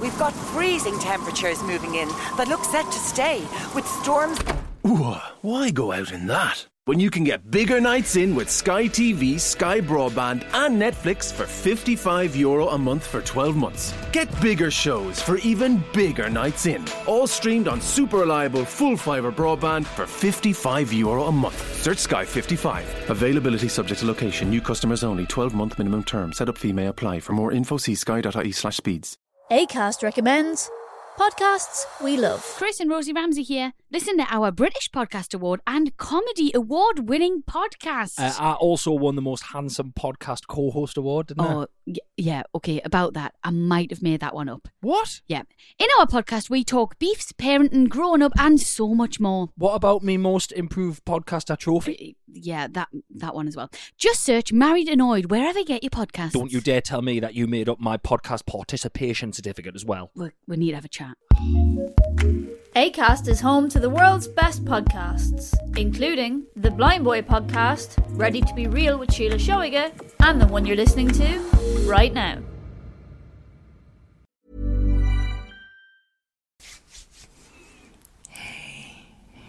We've got freezing temperatures moving in that look set to stay, with storms. why go out in that? When you can get bigger nights in with Sky TV, Sky Broadband, and Netflix for €55 Euro a month for 12 months. Get bigger shows for even bigger nights in. All streamed on super reliable full fibre broadband for €55 Euro a month. Search Sky 55. Availability subject to location. New customers only. 12 month minimum term. Set up female apply. For more info, see sky.ie slash speeds. ACAST recommends podcasts we love. Chris and Rosie Ramsey here. Listen to our British Podcast Award and Comedy Award winning podcast. Uh, I also won the Most Handsome Podcast Co host award, oh, yeah, okay, about that. I might have made that one up. What? Yeah. In our podcast, we talk beefs, parenting, growing up, and so much more. What about me Most Improved Podcaster trophy? yeah, that that one as well. Just search Married Annoyed wherever you get your podcast. Don't you dare tell me that you made up my podcast participation certificate as well. We we need to have a chat. Acast is home to the world's best podcasts, including the Blind Boy podcast, Ready to be Real with Sheila Shoiger, and the one you're listening to right now. Hey,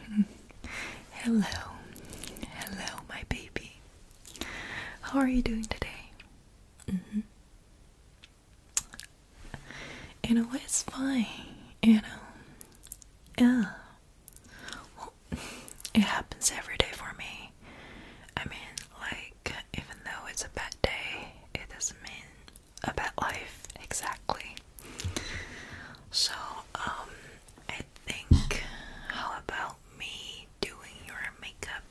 hello, hello, my baby. How are you doing today? Mm-hmm. You know It's fine. You know, yeah. it happens every day for me. I mean, like, even though it's a bad day, it doesn't mean about life exactly. So, um, I think how about me doing your makeup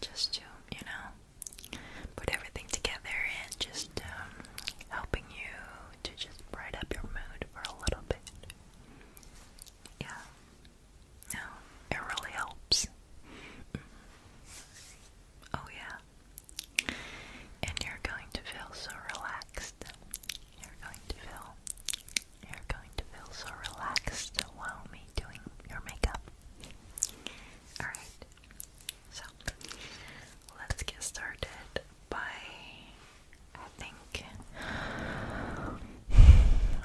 just to, you know, put everything together and just um, helping you to just bright up your mood for a little bit. Yeah. No, it really helps. Mm-hmm. Oh, yeah and you're going to feel so relaxed. You're going to feel you're going to feel so relaxed while me doing your makeup. Alright. So let's get started by I think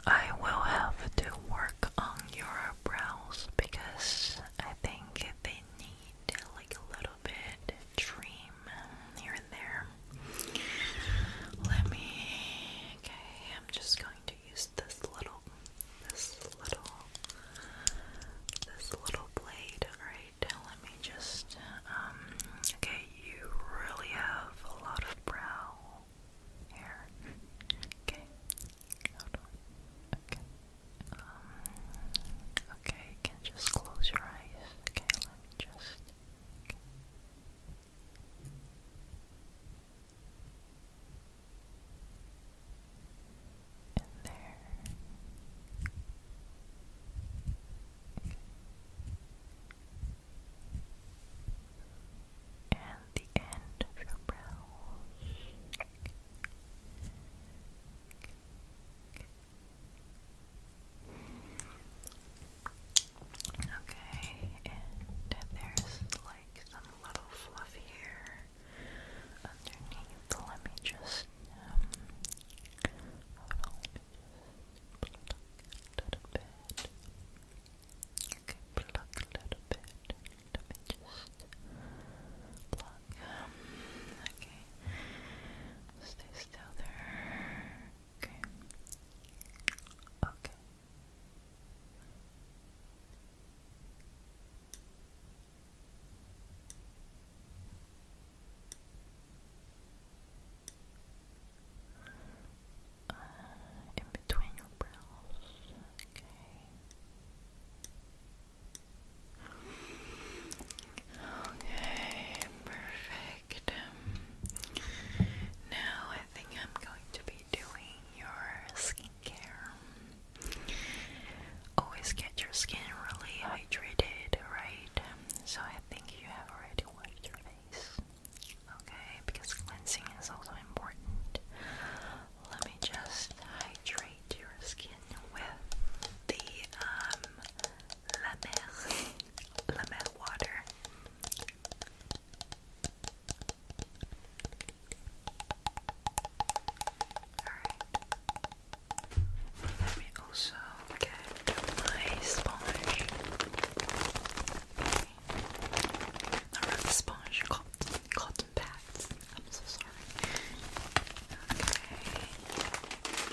I will have to work on your brows because I think they need like a little bit dream here and there. Let me. Okay, I'm just going to use this little, this little, this little blade. Alright, let me just. Um, okay, you really have a lot of brow hair. Okay. Um, okay, can just close your eyes. Okay, let me just. In there. And the end of your brows. Okay, and there's like some little fluff here underneath. Let me just, um, pluck a little bit. Let me just pluck. Um, Stay still there. Okay. Okay. Uh, in between your brows. Okay. Okay, perfect. now I think I'm going to be doing your skincare. Always get your skin really hydrated, right? So I think you have already washed your face. Okay, because cleansing is also important. Let me just hydrate your skin with the um La Mer, La Mer water. Alright. Let me also get my sponge. Not really sponge, cotton, cotton pads. I'm so sorry.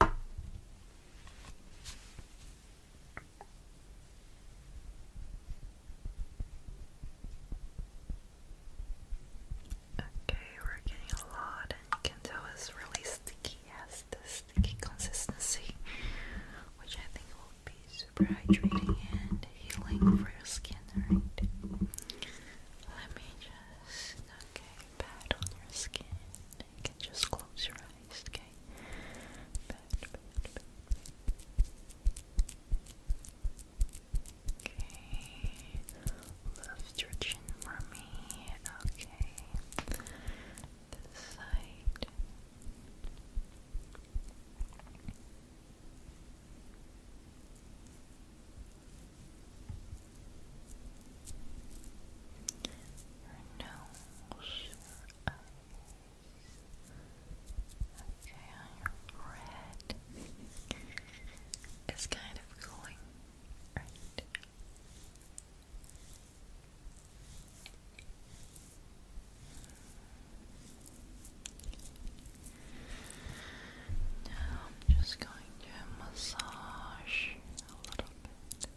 Okay, we're getting a lot, and you can tell really sticky, has the sticky consistency, which I think will be super hydrating and healing for your skin, alright? Let me just, okay, pat on your skin. You can just close your eyes, Bad, bad, Okay, lift your for me. Okay, side. nose, eyes. Okay, your red. It's kind of cooling, Now I'm just going to massage a little bit.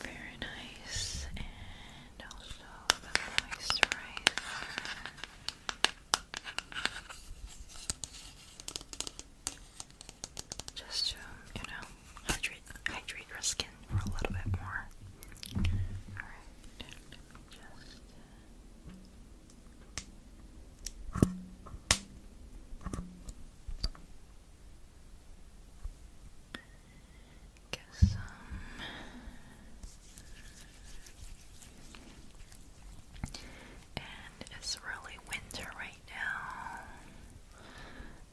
Very nice, and also the moisturizer. Just to, you know, hydrate hydrate your skin for a little bit more. Alright, Get some um, and it's really winter right now,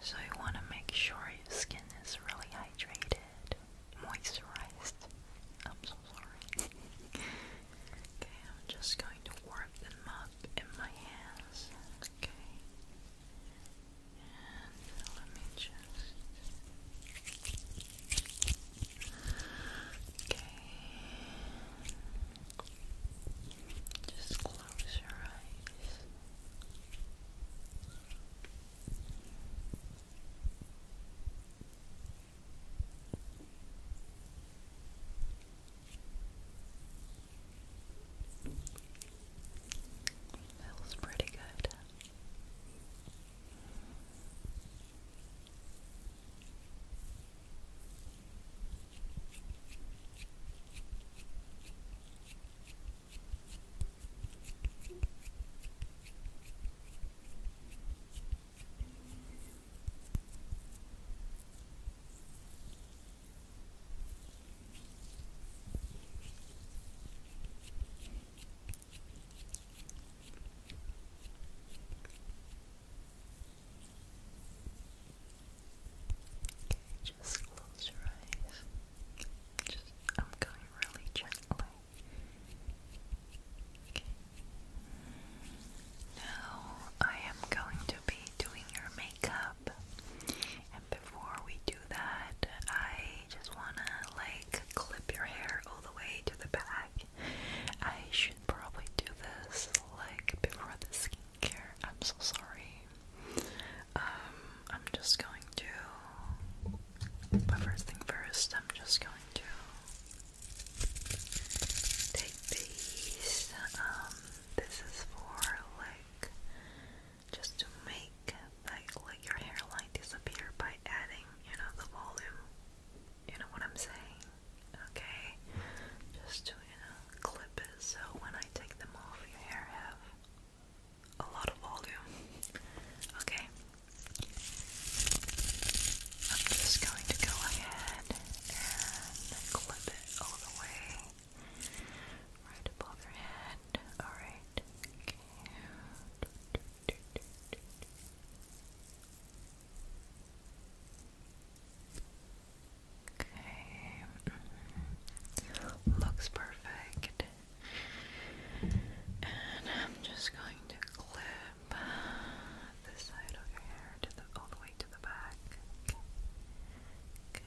so you want to make sure your skin is really hydrated, moisturized. I'm so sorry. Okay, I'm just going to warm them up in my hands. Okay. And let me just. Okay. Just close your eyes. Feels pretty good. Good. Okay, just close your eyes. Just, I'm going really gently. Okay. Now I am going to be doing your makeup makeup. And before we do that, I just wanna like clip your hair all the way to the back. I should probably do this like before the skincare. I'm so sorry. Um, I'm just going to. But first thing first, I'm just going to take these um this is for like just to make like like your hairline disappear by adding, you know, the volume. You know what I'm saying? Okay. Just to, you know, clip it so when I take them off your hair have a lot of volume. Okay. I'm just going to go ahead and clip it all the way Right above your head. Alright. Okay. Okay. Looks perfect. And I'm just going to clip this side of your hair to the to the back. Okay.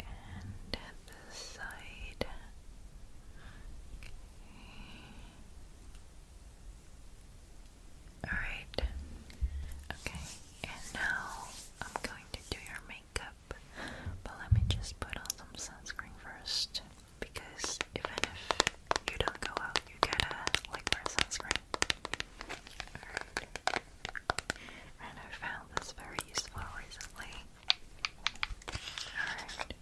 And at side. Okay. Alright. Okay. And now I'm going to do your makeup. But let me just put on some sunscreen first. Because even if you don't go out, you get a like for sunscreen. And I found this very useful recently. Okay.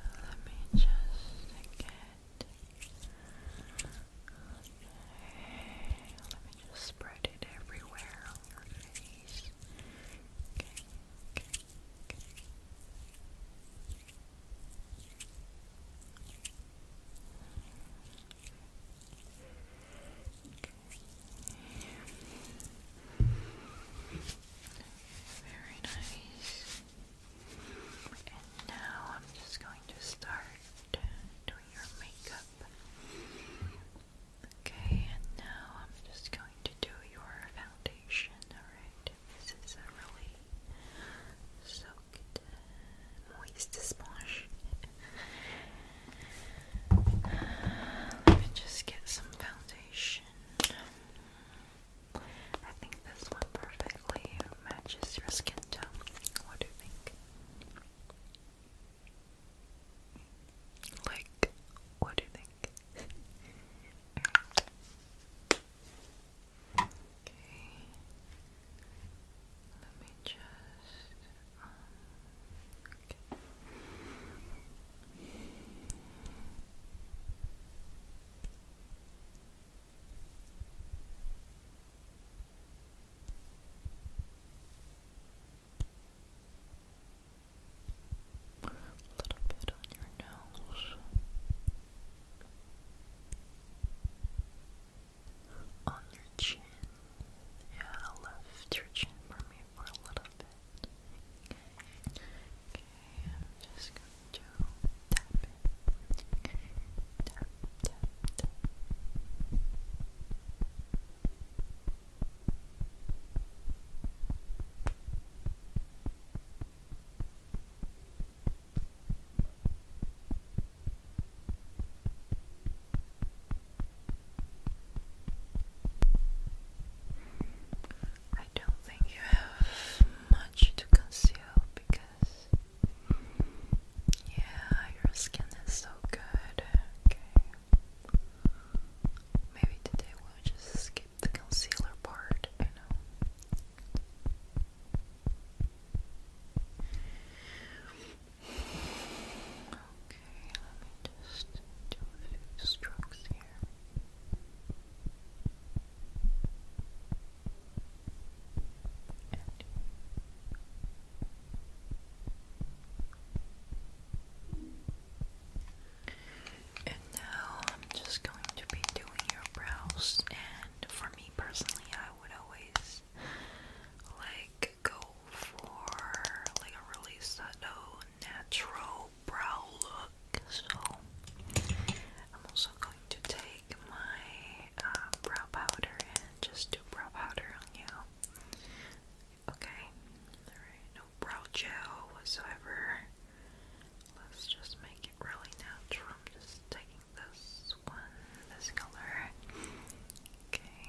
Let me just get. let me just spread it everywhere on your face please. Okay, Very nice. And now I'm just going to start doing your makeup. Okay, and now I'm just going to do your foundation, alright? This is a really soaked, moist sponge. Let me just get some foundation. I think this one perfectly matches your skin tone. What do you think? Like, what do you think? Let me just. A little bit on your nose. On your chin. Yeah, lift your chin for me for a little bit. Okay, I'm just going to tap it. Tap, tap, tap. I don't think you have much to conceal because, yeah, your skin is so good. Okay. Maybe today we'll just skip the concealer part, I know. Okay, let me just do a few strokes here. And now I'm just going to be doing your brows. And for me personally, I would always like go for like a really subtle, natural brow look. So I'm also going to take my uh, brow powder and just do brow powder on you. Okay. Alright, no brow gel whatsoever. Let's just make it really natural. i just taking this one, this color. Okay.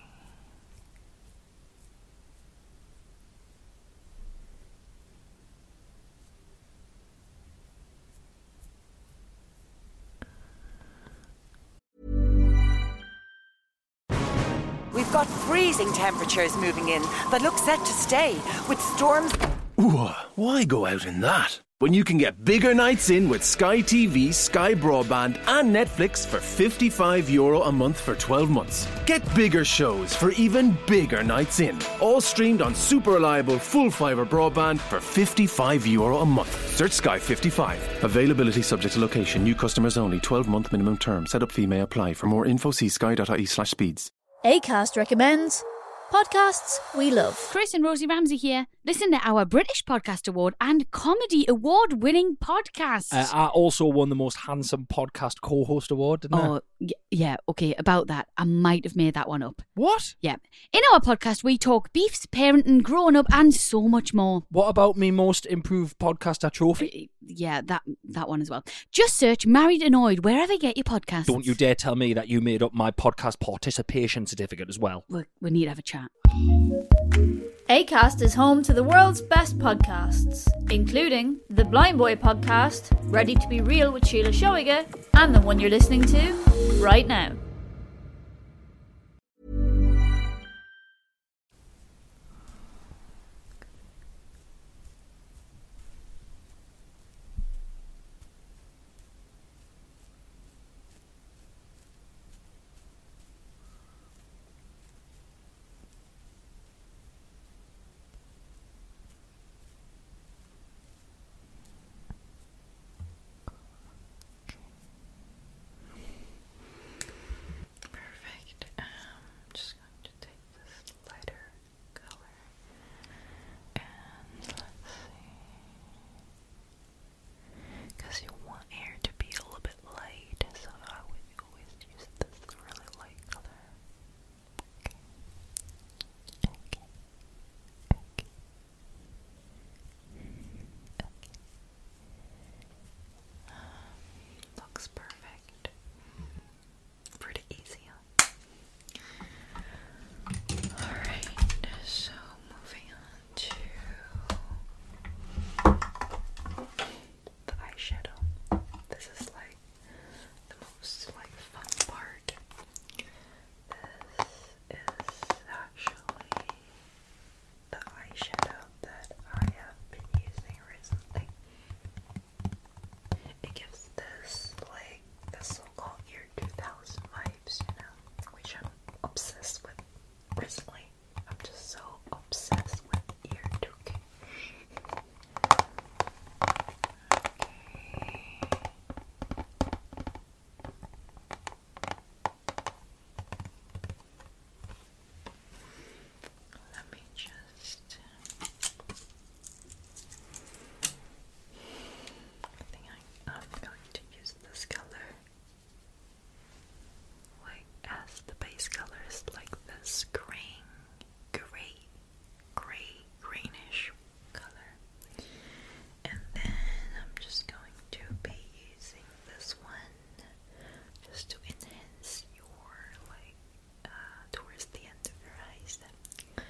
We've got freezing temperatures moving in that look set to stay, with storms. why go out in that? When you can get bigger nights in with Sky TV, Sky Broadband, and Netflix for €55 Euro a month for 12 months. Get bigger shows for even bigger nights in. All streamed on super reliable full fibre broadband for €55 Euro a month. Search Sky 55. Availability subject to location. New customers only. 12 month minimum term. Setup fee may apply. For more info, see sky.ie slash speeds. Plus. ACAST recommends podcasts we love. Chris and Rosie Ramsey here. Listen to our British Podcast Award and Comedy Award winning podcast. Uh, I also won the most handsome podcast co host award, didn't oh, yeah, okay, about that. I might have made that one up. What? Yeah. In our podcast, we talk beefs, parenting, growing up, and so much more. What about me most improved podcaster trophy? yeah, that that one as well. Just search "Married Annoyed" wherever you get your podcast. Don't you dare tell me that you made up my podcast participation certificate as well. we we need have a chat. Acast is home to the world's best podcasts, including the Blind Boy podcast, Ready to Be Real with Sheila Showega, and the one you're listening to right now. Perfect. Um, I'm just going to take this lighter color. And let's see. Because you want hair to be a little bit light, so I would always use this really light color. Okay. Okay. Um, looks perfect. Mm-hmm. Pretty easy, Alright, so moving on to the eyeshadow. This is like the most like fun part. This is actually the eyeshadow that I have been using recently. It gives this like the so-called year 2000 vibes, you know, which I'm obsessed with recently. I'm just so obsessed with year 2 Okay. Let me just I am going to use this color like as the base color is like this green, gray, gray, greenish color. And then I'm just going to be using this one just to enhance your like uh, towards the end of your eyes. And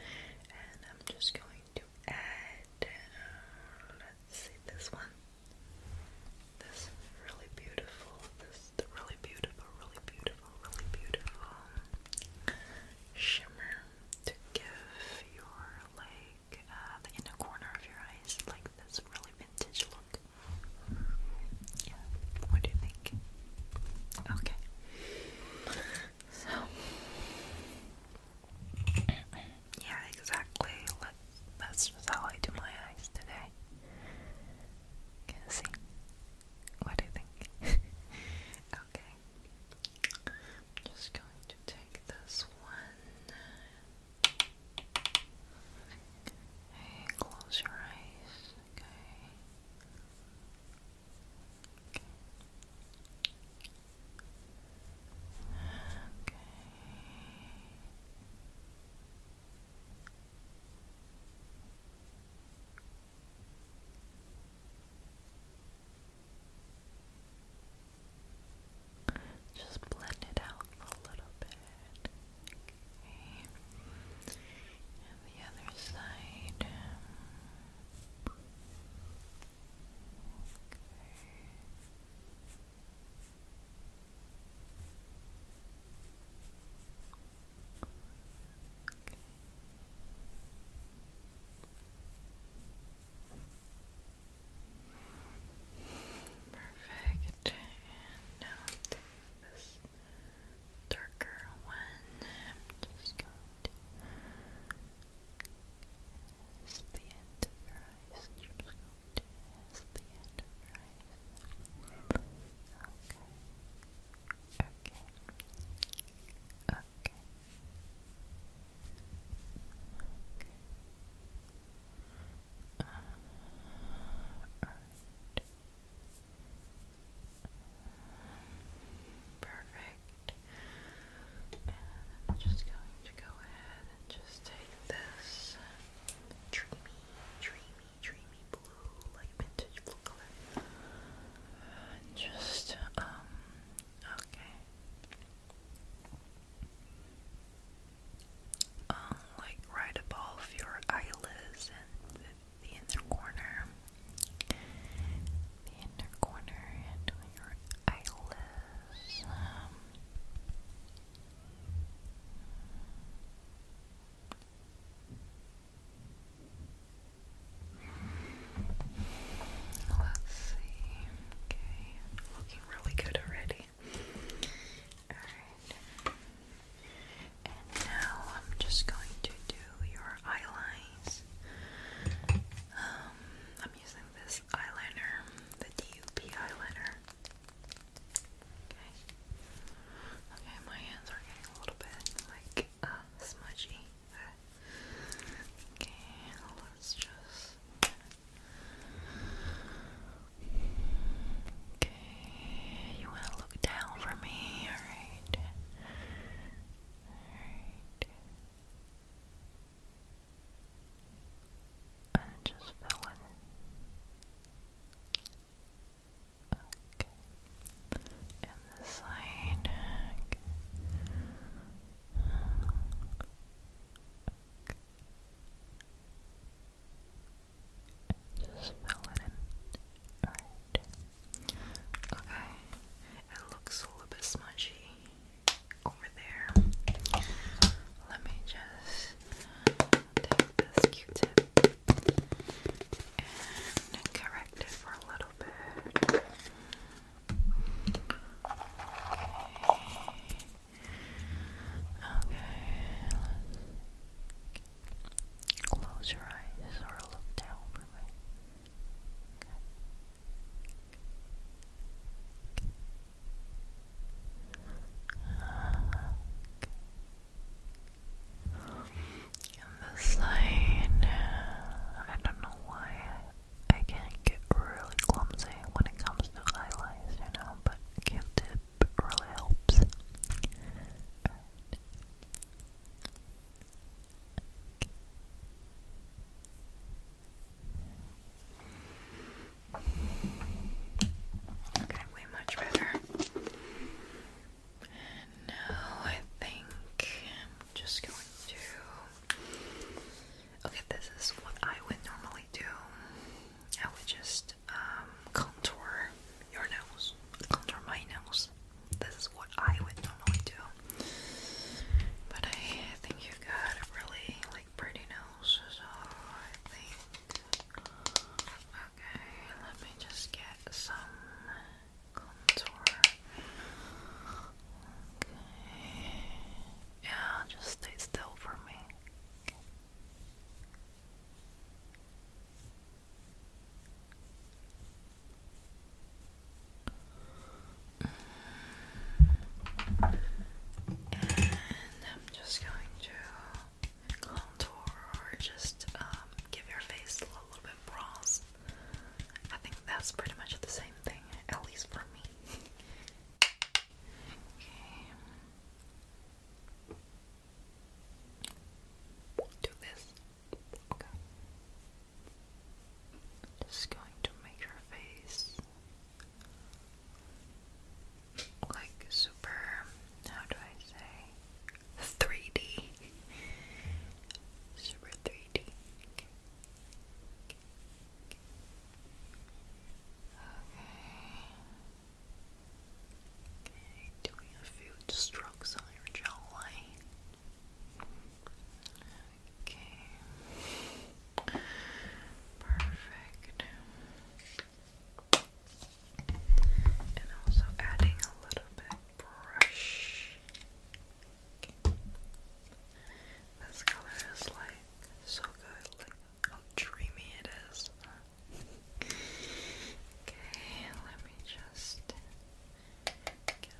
I'm just going to add, uh, let's see, this one. This really beautiful, this really beautiful, really beautiful, really beautiful shimmer to give your like uh, the inner corner of your eyes like this really vintage look. Yeah, what do you think? Okay. So, yeah, exactly. Let's, that's just how I do my eyes today. Can see? What do you think? okay. just going to take this one. Hey, close your eyes. Okay. Okay. Just blend it out a little bit. And the other side. Um, Perfect. And now take this darker one. just going to the end of your eyes. i the end of your eyes. Okay. Okay. Okay. Um, all right. Perfect. And I'm just going to go ahead and just take this dreamy, dreamy, dreamy blue, like vintage blue And just, um, okay. Um, like right above your eyelids and the inner corner, the inner corner, and your eyelids. Um, let's see. Okay, looking really good already. Alright. And now I'm just going to do your eyeline these. Um, I'm using this eyeliner, the DUP eyeliner. Okay. Okay, my hands are getting a little bit like uh, smudgy. Okay, let's just. Okay, you want to look down for me, alright? Alright. And just fill it in. Okay. And this side. just fill it in. Alright. Okay, it looks a little bit smudgy over there. Let me just take this Q-tip and correct it for a little bit. Okay. Close your eyes or look down for me. And this line, I don't know why I can get really clumsy when it comes to highlights, you know, but Q-tip really helps. Okay, way much better. And now I think I'm just going to. Okay, this is what I would normally do. I would just um, contour your nose, contour my nose this is what I would normally do. But I think you got really like pretty nose, so I think okay, let me just get some contour. Okay. Yeah, just stay still for me. I'm just going to contour or just um, give your face a little bit bronze. I think that's pretty much the same thing, at least for me. okay. Do this. Just going to make your face like super, how do I say, 3D. Super 3D. Okay. Okay, doing a few strokes on your jawline. Okay. Perfect. And also adding a little bit brush. This color is like so good, like how dreamy it is. okay, let me just get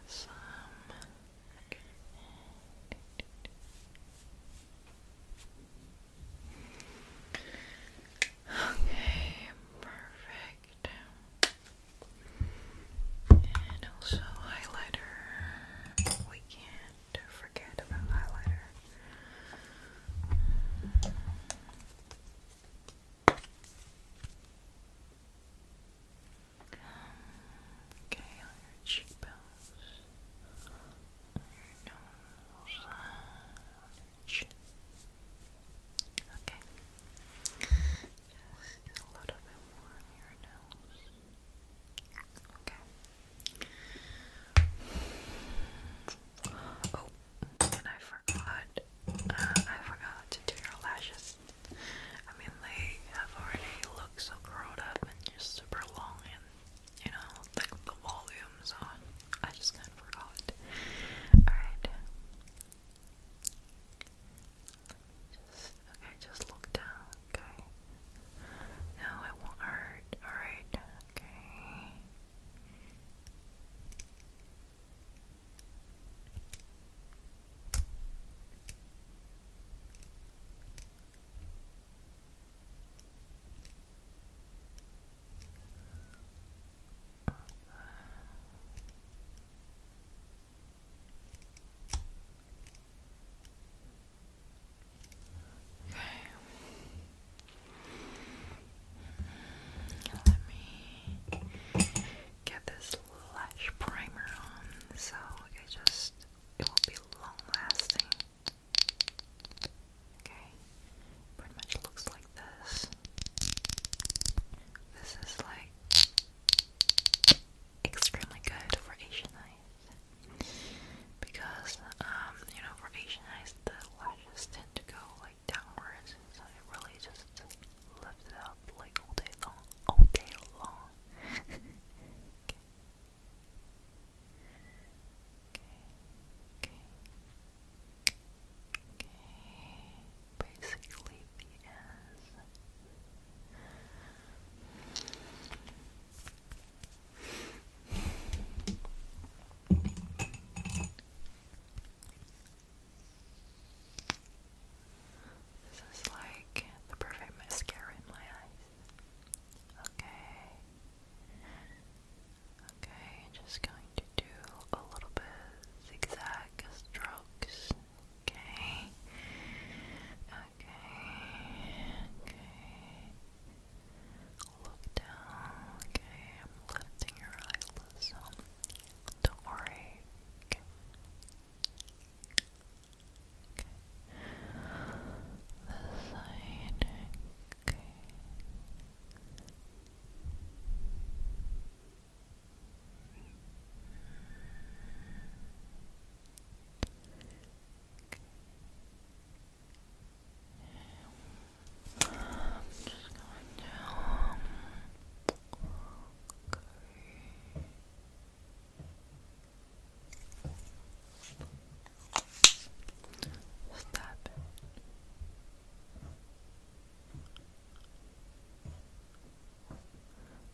some. Okay, perfect. And also highlighter. We can't forget about highlighter. Okay, on your cheekbones, your nose, chin. Okay. a little bit more on your nose. Okay. Oh, and I forgot. Uh, I forgot to your lashes. I mean, they have already looked so curled up and just super long, and you know, like the volume's on. I just kind of forgot. Alright. Just, okay, just look down, okay? No, it won't hurt. Alright, okay. Okay. Let me get this lash primer on so it just it will be long lasting. Okay, pretty much looks like this. This is like extremely good for Asian eyes because um you know for Asian eyes the lashes tend to go like downwards, so it really just lifts it up like all day long, all day long okay. Okay. Okay. Basically the S. This is like the perfect mascara in my eyes. Okay. Okay, just going to do a little bit zigzag strokes. Okay. Okay. Okay. Look down. Okay, I'm lifting your eyelids. Don't worry. Okay. Okay. The side. Okay. I'm just going to What's that?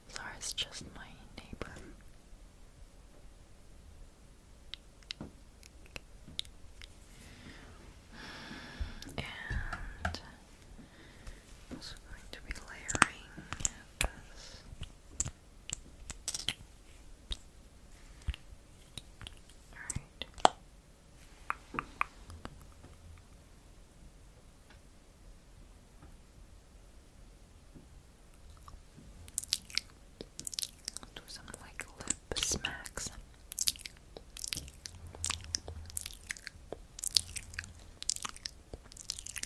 Sorry, it's just my neighbor. And I'm also going to be layering this. Alright. Do some like lip smacks.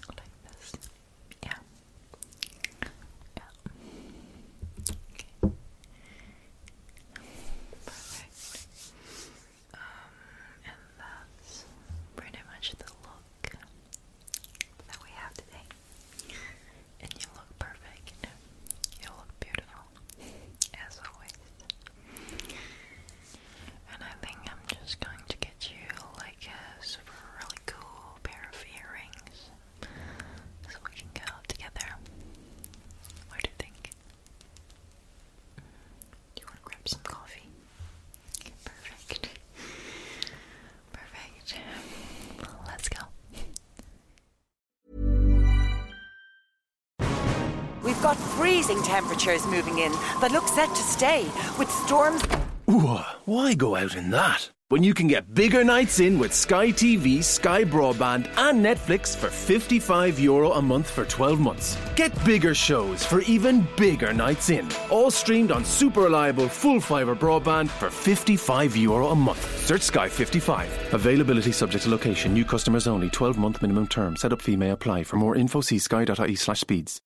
Like this. Yeah. Yeah. Perfect. Um, and that's pretty much the look that we have today. And you look perfect. You look beautiful, as always. And I think I'm just going to get you laid I guess, for a really cool pair of earrings. So we can go together. What do you think? Do you want to grab some coffee? Perfect. Perfect. let's go. We've got freezing temperatures moving in that look set to stay with storms why go out in that? When you can get bigger nights in with Sky TV, Sky Broadband, and Netflix for €55 Euro a month for 12 months. Get bigger shows for even bigger nights in. All streamed on super reliable full fibre broadband for €55 Euro a month. Search Sky 55. Availability subject to location, new customers only, 12 month minimum term. Setup fee may apply. For more info, see sky.ie slash speeds.